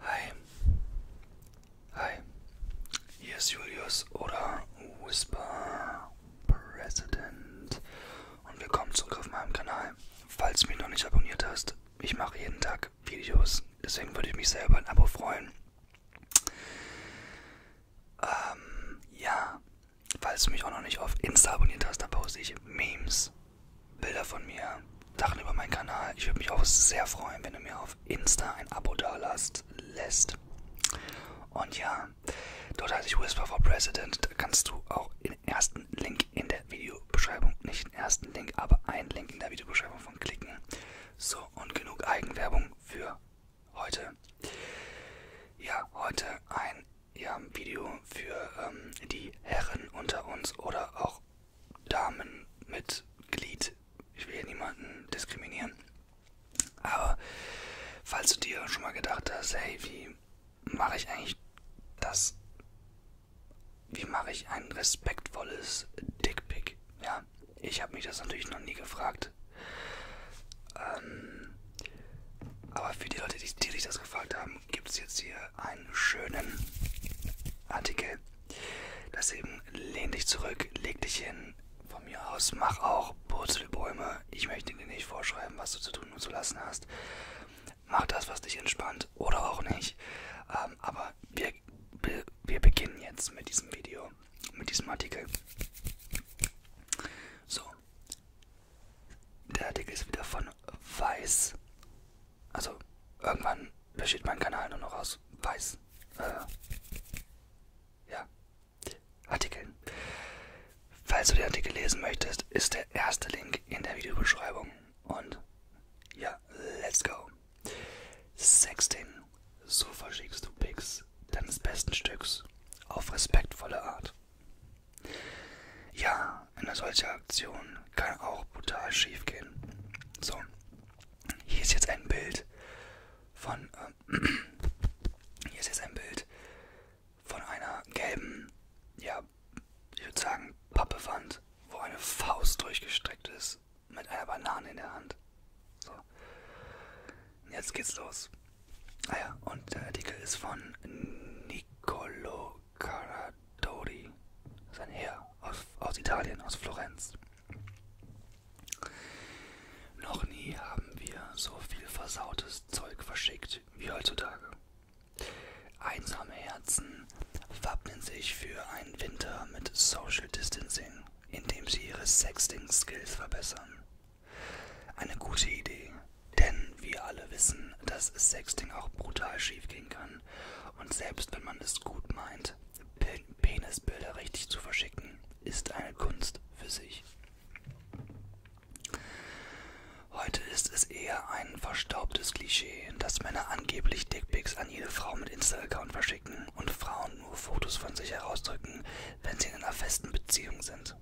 Hi. Hi. Hier ist Julius oder Whisper President. Und willkommen zurück auf meinem Kanal. Falls du mich noch nicht abonniert hast, ich mache jeden Tag Videos. Deswegen würde ich mich selber ein Abo freuen. Ähm, ja, falls du mich auch noch nicht auf Insta abonniert hast, da poste ich Memes, Bilder von mir, Sachen über meinen Kanal. Ich würde mich auch sehr freuen, wenn du mir auf Insta ein Abo dalasst, lässt. Und ja, dort heiße ich Whisper for President. Da kannst du auch den ersten Link in der Videobeschreibung, nicht den ersten Link, aber einen Link in der Videobeschreibung von klicken. So, und genug Eigenwerbung für heute. Ja, heute ein ja, Video für ähm, die Herren unter uns oder auch Damen mit Glied. Ich will hier niemanden diskriminieren. Aber falls du dir schon mal gedacht hast, hey, wie mache ich eigentlich das? Wie mache ich ein respektvolles Dickpick? Ja, ja, ich habe mich das natürlich noch nie gefragt. Ähm, aber für die Leute, die, die sich das gefragt haben, gibt es jetzt hier einen schönen Artikel. Das eben, lehn dich zurück, leg dich hin. Von mir aus, mach auch, purzel Bäume. Ich möchte dir nicht vorschreiben, was du zu tun und zu lassen hast. Mach das, was dich entspannt oder auch nicht. Ähm, aber wir be wir beginnen jetzt mit diesem Video, mit diesem Artikel. So, der Artikel ist wieder von Weiß. Also irgendwann besteht mein Kanal nur noch aus Weiß. Äh, ja, Artikeln. Falls du den Artikel lesen möchtest, ist der erste Link in der Videobeschreibung. Und ja, let's go. Sexting, so verschickst du Pics deines besten Stücks auf respektvolle Art. Ja, eine solche Aktion kann auch brutal schief gehen. So, hier ist jetzt ein Bild von ähm, hier ist jetzt ein Bild von einer gelben, ja, ich würde sagen Pappewand, wo eine Faust durchgestreckt ist mit einer Banane in der Hand. So. Jetzt geht's los. Ah ja, und der Artikel ist von Niccolo Caradori. Sein Herr aus, aus Italien, aus Florenz. Noch nie haben wir so viel versautes Zeug verschickt wie heutzutage. Einsame Herzen wappnen sich für einen Winter mit Social Distancing indem sie ihre Sexting-Skills verbessern. Eine gute Idee, denn wir alle wissen, dass Sexting auch brutal schief gehen kann. Und selbst wenn man es gut meint, Penisbilder richtig zu verschicken, ist eine Kunst für sich. Heute ist es eher ein verstaubtes Klischee, dass Männer angeblich Dickpics an jede Frau mit Insta-Account verschicken und Frauen nur Fotos von sich herausdrücken, wenn sie in einer festen Beziehung sind.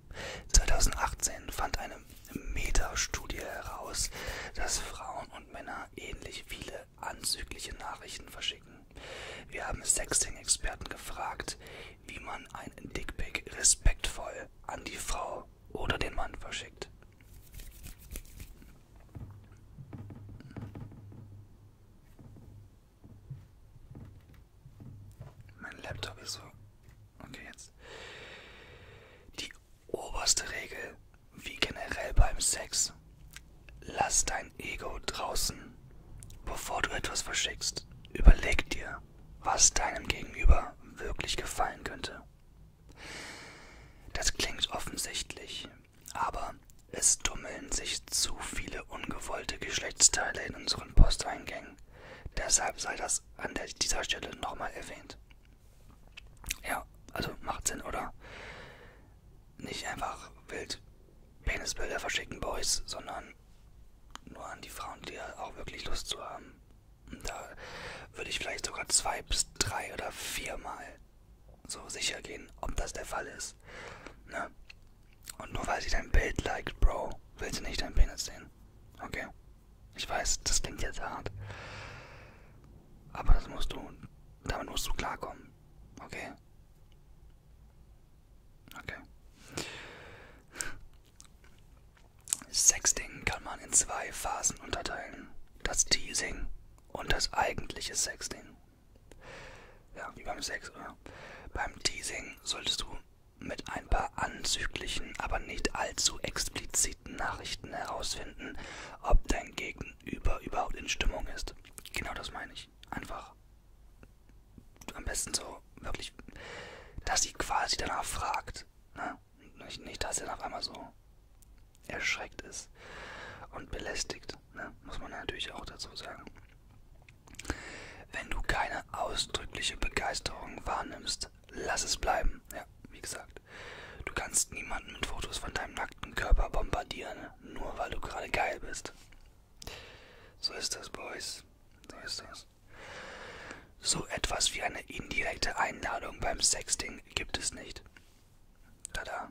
2018 fand eine Meta-Studie heraus, dass Frauen und Männer ähnlich viele anzügliche Nachrichten verschicken. Wir haben Sexting-Experten gefragt, wie man einen Dickpick respektvoll an die Frau oder den Mann verschickt. Mein Laptop ist so. Okay, jetzt. Die oberste Regel, wie generell beim Sex, lass dein Ego draußen. Bevor du etwas verschickst, überleg dir, was deinem Gegenüber wirklich gefallen könnte. Das klingt offensichtlich, aber es tummeln sich zu viele ungewollte Geschlechtsteile in unseren Posteingängen. Deshalb sei das an der, dieser Stelle nochmal erwähnt. Ja, also macht Sinn, oder? Nicht einfach wild Penisbilder verschicken, Boys, sondern nur an die Frauen, die auch wirklich Lust zu haben. Und da würde ich vielleicht sogar zwei bis drei oder viermal so sicher gehen, ob das der Fall ist. Ne? Und nur weil sie dein Bild liked, Bro, will sie nicht deinen Penis sehen. Okay? Ich weiß, das klingt jetzt hart. Aber das musst du, damit musst du klarkommen. Okay? Okay. Sexting kann man in zwei Phasen unterteilen. Das Teasing und das eigentliche Sexting. Ja, wie beim Sex, oder? Beim Teasing solltest du mit ein paar anzüglichen, aber nicht allzu expliziten Nachrichten herausfinden, ob dein Gegenüber überhaupt in Stimmung ist. Genau das meine ich. Einfach am besten so wirklich, dass sie quasi danach fragt. Ne? Nicht, nicht, dass er auf einmal so erschreckt ist und belästigt, ne? muss man natürlich auch dazu sagen. Wenn du keine ausdrückliche Begeisterung wahrnimmst, lass es bleiben. Ja, wie gesagt, du kannst niemanden mit Fotos von deinem nackten Körper bombardieren, nur weil du gerade geil bist. So ist das, Boys. So ist das. So etwas wie eine indirekte Einladung beim Sexting gibt es nicht. Tada.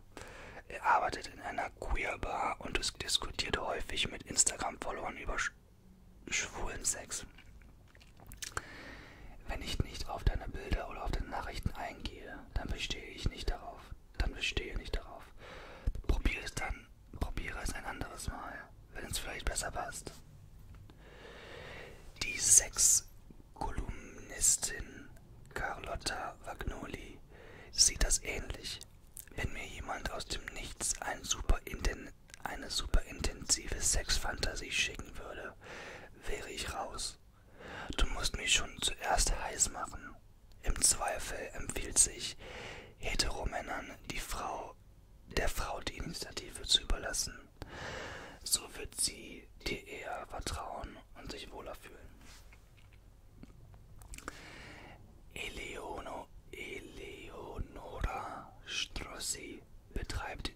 Er arbeitet in einer Queer-Bar und diskutiert häufig mit Instagram-Followern über sch schwulen Sex. Wenn ich nicht auf deine Bilder oder auf deine Nachrichten eingehe, dann bestehe ich nicht darauf. Dann bestehe nicht darauf. Probiere es dann, probiere es ein anderes Mal, wenn es vielleicht besser passt. Die Sexkolumnistin Carlotta Vagnoli sieht das ähnlich. Wenn mir jemand aus dem Nichts ein super eine super intensive Sexfantasie schicken würde, wäre ich raus. Du musst mich schon zuerst heiß machen. Im Zweifel empfiehlt sich Heteromännern die Frau der Frau die Initiative zu überlassen. So wird sie dir eher vertrauen haben und sich wohler fühlen. Eleono, Eleonora Strozzi betreibt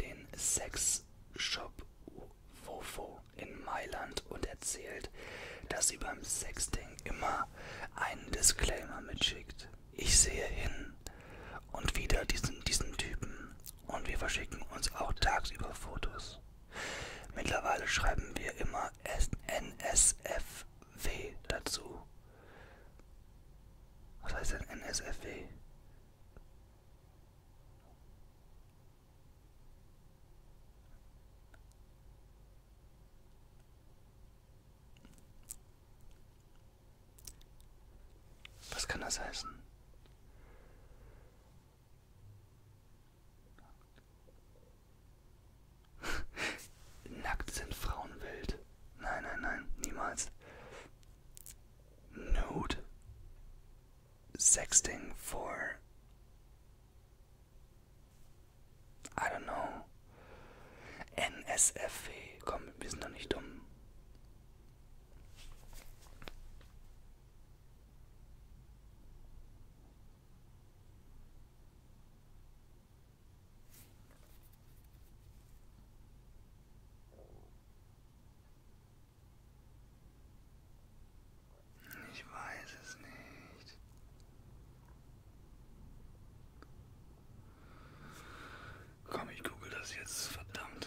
den Sexshop Fofo in Mailand und erzählt, dass sie beim Sexting immer einen Disclaimer mitschickt. Ich sehe hin und wieder diesen, diesen Typen und wir verschicken uns auch tagsüber Fotos. Mittlerweile schreiben wir immer NSFW dazu. Was heißt denn NSFW? Was kann das heißen? Nackt sind Frauen wild. Nein, nein, nein, niemals. Nude. Sexting for. I don't know. NSFW. E. Komm, wir sind doch nicht dumm. Ich weiß es nicht. Komm, ich google das jetzt, verdammt.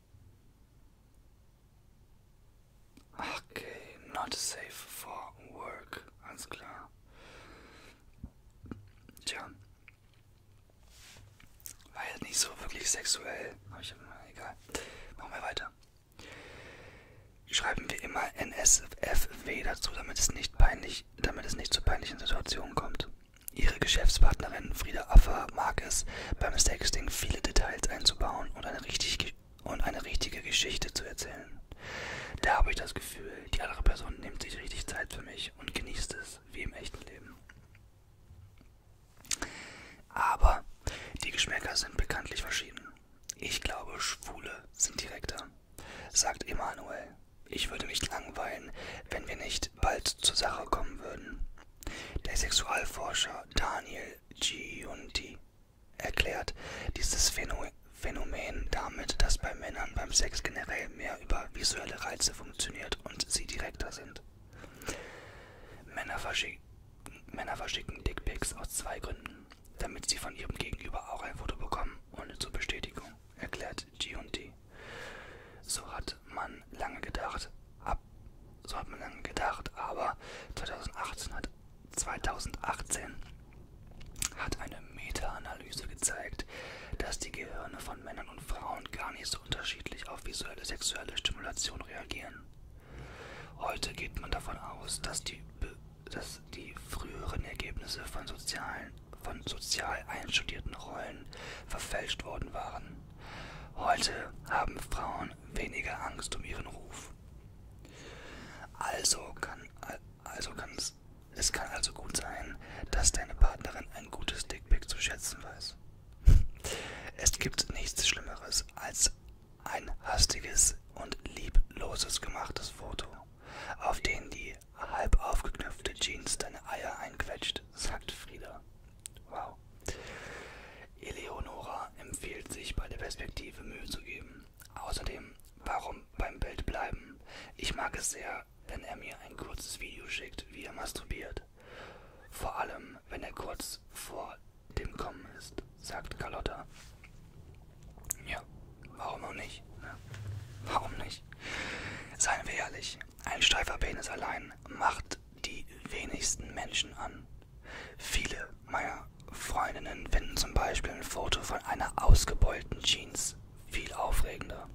Okay, not safe for work, alles klar. Tja. War jetzt nicht so wirklich sexuell, aber ich egal. Machen wir weiter. Schreiben wir immer NSFW dazu, damit es nicht peinlich, damit es nicht zu peinlichen Situationen kommt. Ihre Geschäftspartnerin Frieda Affer mag es, beim Sexting viele Details einzubauen und eine, richtig, und eine richtige Geschichte zu erzählen. Da habe ich das Gefühl, die andere Person nimmt sich richtig Zeit für mich und genießt es, wie im echten Leben. Aber die Geschmäcker sind bekanntlich verschieden. Ich glaube, Schwule sind direkter, sagt Emanuel. Ich würde mich langweilen, wenn wir nicht bald zur Sache kommen würden. Der Sexualforscher Daniel Giunti erklärt dieses Phänomen damit, dass bei Männern beim Sex generell mehr über visuelle Reize funktioniert und sie direkter sind. Männer verschicken, Männer verschicken Dickpics aus zwei Gründen, damit sie von ihrem Gegenüber auch ein Foto bekommen und zur Bestätigung, erklärt Giunti. So hat man lange gedacht, ab so hat man dann gedacht, aber 2018 hat, 2018 hat eine Meta-Analyse gezeigt, dass die Gehirne von Männern und Frauen gar nicht so unterschiedlich auf visuelle sexuelle Stimulation reagieren. Heute geht man davon aus, dass die, dass die früheren Ergebnisse von, sozialen, von sozial einstudierten Rollen verfälscht worden waren. Heute haben Frauen weniger Angst um ihren Ruf. Also kann also kann's, es kann also gut sein, dass deine Partnerin ein gutes Dickpick zu schätzen weiß. Es gibt nichts Schlimmeres als ein hastiges und liebloses gemachtes Foto, auf dem die halb aufgeknöpfte Jeans deine Eier einquetscht, sagt Frieda. Wow. Eleonora empfiehlt sich, bei der Perspektive Mühe zu geben. Außerdem, warum beim Bild bleiben? Ich mag es sehr, wenn er mir ein kurzes Video schickt, wie er masturbiert. Vor allem, wenn er kurz vor dem Kommen ist, sagt Carlotta. Ja, warum auch nicht? Ne? Warum nicht? Seien wir ehrlich, ein steifer Penis allein macht die wenigsten Menschen an. Viele meiner Freundinnen finden zum Beispiel ein Foto von einer ausgebeulten Jeans viel aufregender.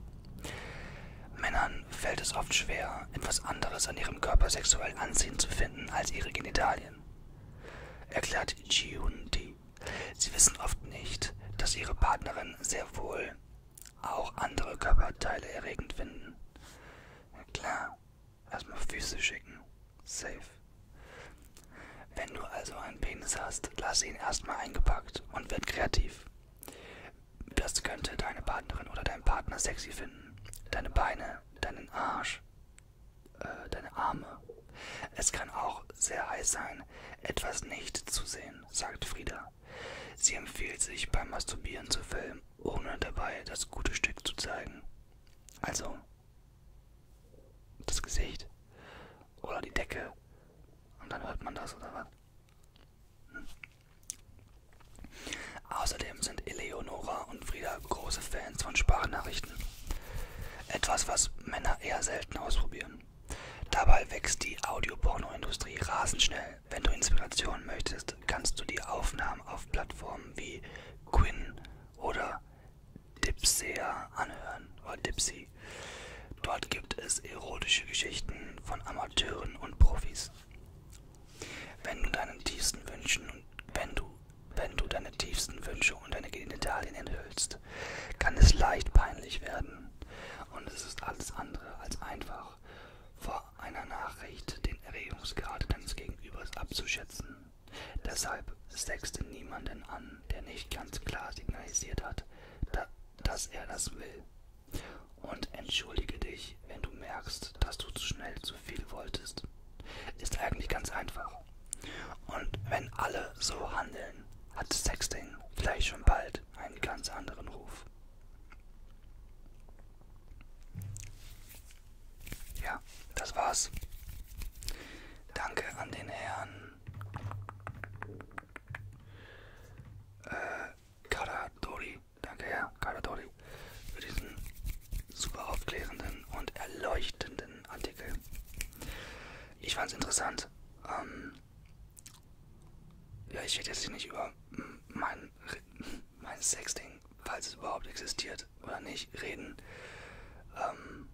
Männern fällt es oft schwer, etwas anderes an ihrem Körper sexuell anziehend zu finden als ihre Genitalien. Erklärt Ji-Hoon Di. Sie wissen oft nicht, dass ihre Partnerin sehr wohl auch andere Körperteile erregend finden. Na klar, erstmal Füße schicken. Safe. Wenn du also einen Penis hast, lass ihn erstmal eingepackt und werd kreativ. Das könnte deine Partnerin oder dein Partner sexy finden. Deine Beine, deinen Arsch, äh, deine Arme. Es kann auch sehr heiß sein, etwas nicht zu sehen, sagt Frieda. Sie empfiehlt sich beim Masturbieren zu filmen, ohne dabei das gute Stück zu zeigen. Also das Gesicht oder die Decke und dann hört man das oder was. Hm. Außerdem sind Eleonora und Frieda große Fans von Sprachnachrichten. Etwas, was Männer eher selten ausprobieren. Dabei wächst die Audiopornoindustrie rasend schnell. Wenn du Inspiration möchtest, kannst du die Aufnahmen auf Plattformen wie Quinn oder Dipsea anhören oder Dipsy. Dort gibt es erotische Geschichten von Amateuren und Profis. Wenn du deine tiefsten Wünschen und wenn du, wenn du deine tiefsten Wünsche und deine Genitalien enthüllst, kann es leicht peinlich werden. Und es ist alles andere als einfach. Vor vor einer Nachricht den Erregungsgrad deines Gegenübers abzuschätzen. Deshalb sechste niemanden an, der nicht ganz klar signalisiert hat, da, dass er das will. Und entschuldige dich, wenn du merkst, dass du zu schnell zu viel wolltest. Ist eigentlich ganz einfach. Und wenn alle so handeln, hat Sexting vielleicht schon bald einen ganz anderen Ruf. Ja, das war's. Danke an den Herrn äh, Karadori. Danke, Herr Karadori, für diesen super aufklärenden und erleuchtenden Artikel. Ich fand's interessant. Ähm, ja, ich werde jetzt hier nicht über mein, mein Sexting, falls es überhaupt existiert oder nicht, reden. Ähm,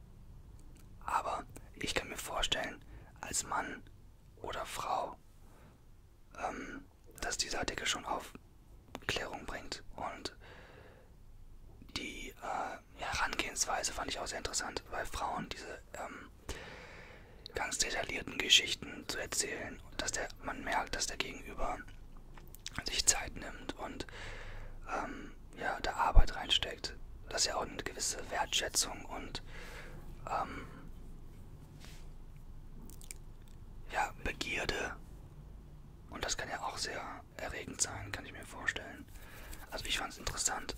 aber ich kann mir vorstellen, als Mann oder Frau, ähm, dass dieser Artikel schon auf Klärung bringt. Und die äh, Herangehensweise fand ich auch sehr interessant, weil Frauen diese ähm, ganz detaillierten Geschichten zu erzählen, dass der, man merkt, dass der Gegenüber sich Zeit nimmt und ähm, ja, da Arbeit reinsteckt. Das ist ja auch eine gewisse Wertschätzung und ähm, ja, Begierde. Und das kann ja auch sehr erregend sein, kann ich mir vorstellen. Also ich fand es interessant.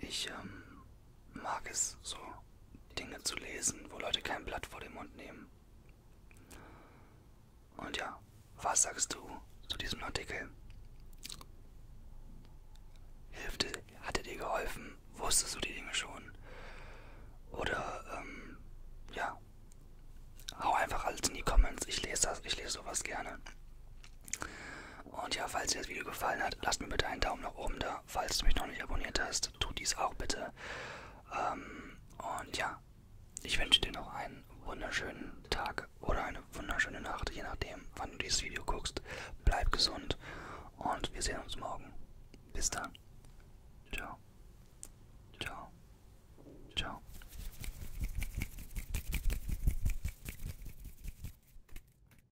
Ich ähm, mag es, so Dinge zu lesen, wo Leute kein Blatt vor den Mund nehmen. Und ja, was sagst du zu diesem Artikel? Hilfte, hatte dir geholfen? Wusstest du die Dinge schon? Oder, ähm, ja, hau einfach alles in die Comments. Ich lese das, ich lese sowas gerne. Und ja, falls dir das Video gefallen hat, lasst mir bitte einen Daumen nach oben da Falls du mich noch nicht abonniert hast, tu dies auch bitte. Ähm, und ja, ich wünsche dir noch einen wunderschönen Tag oder eine wunderschöne Nacht, je nachdem, wann du dieses Video guckst. Bleib gesund und wir sehen uns morgen. Bis dann. Ciao. Ciao. Ciao.